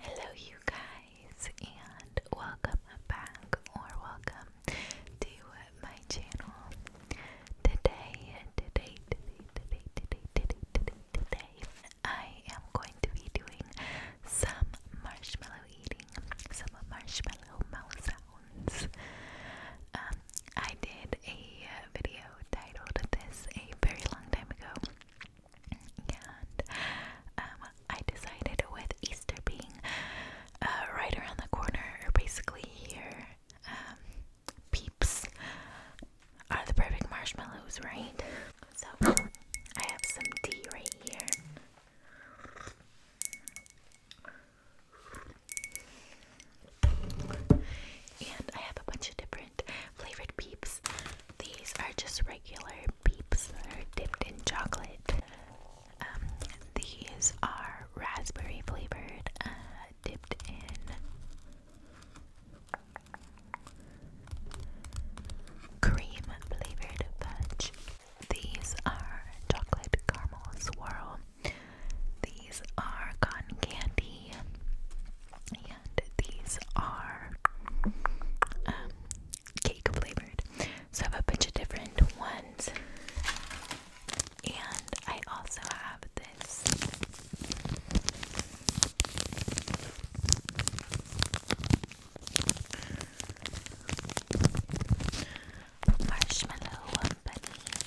Hello, you guys, and welcome back or welcome to my channel. Today, today, today, today, today, today, today, today, I am going to be doing some marshmallow eating, some marshmallow mouth sounds. Um, I did a video titled this a very long time ago. And um, I decided with Easter being uh, right around the corner, or basically here, um, peeps are the perfect marshmallows, right? So I have some tea right here. And I have a bunch of different flavored peeps. These are just regular beeps that are dipped in chocolate. Um, these are raspberry flavored, uh, dipped in cream flavored fudge. These are chocolate caramel swirl these are cotton candy, and these are um, cake flavored. So I have a bunch of different ones, and I also have this. Marshmallow bunny.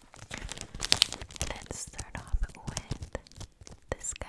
Let's start off with this guy.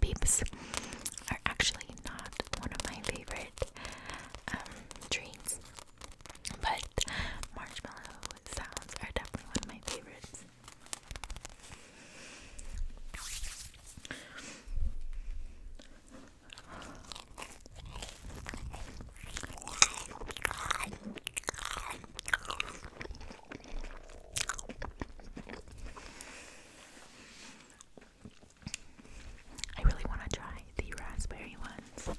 Beeps are actually not one of my favorite um, treats, but marshmallow sounds are definitely one of my favorites. I really want to try the raspberry ones.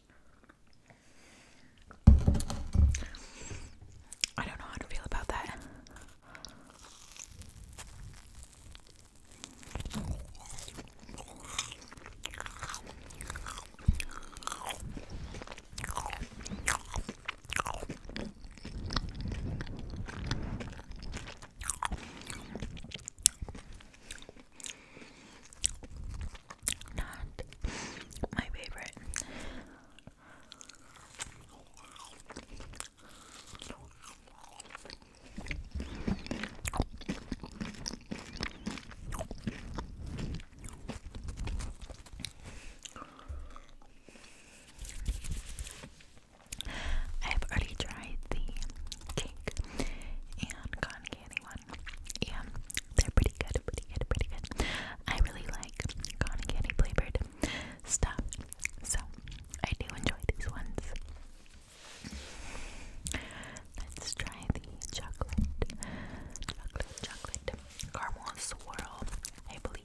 I don't know how to feel about that. Not my favorite. I've already tried the cake and cotton candy one, yeah, they're pretty good, pretty good, pretty good. I really like cotton candy flavored stuff, so I do enjoy these ones. Let's try the chocolate, chocolate, chocolate caramel swirl, I believe.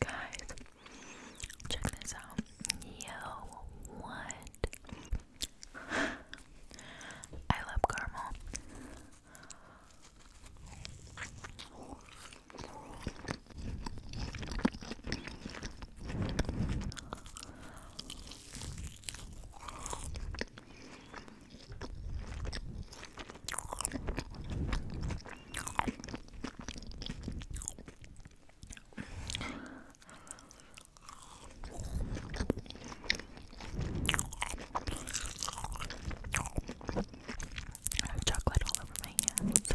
Guys, check this out. Yo, what? I love caramel. Chocolate all over my hands.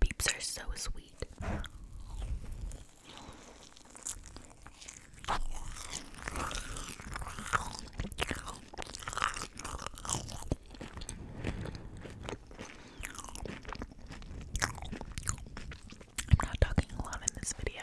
Beeps are so sweet. I'm not talking a lot in this video.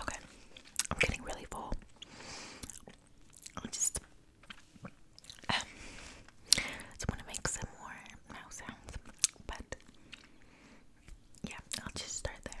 Okay, I'm getting really full. I just um, want to make some more mouth sounds, but yeah, I'll just start there.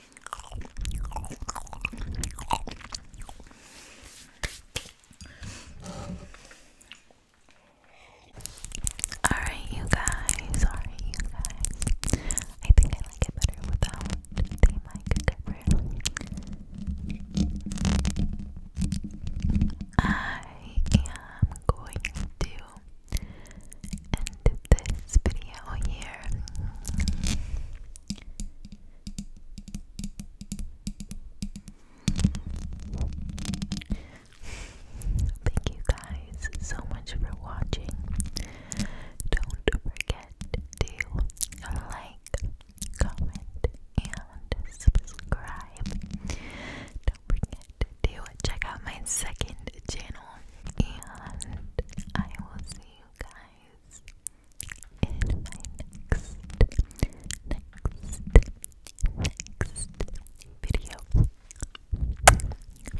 Alright, you guys. Alright, you guys. I think I like it better without the mic I am going to end this video here. Thank you guys so much for watching. Don't forget to like, comment, and subscribe. Don't forget to check out my second channel, and I will see you guys in my next, next, next video.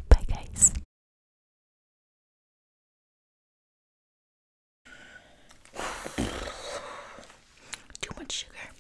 Bye, guys. Too much sugar.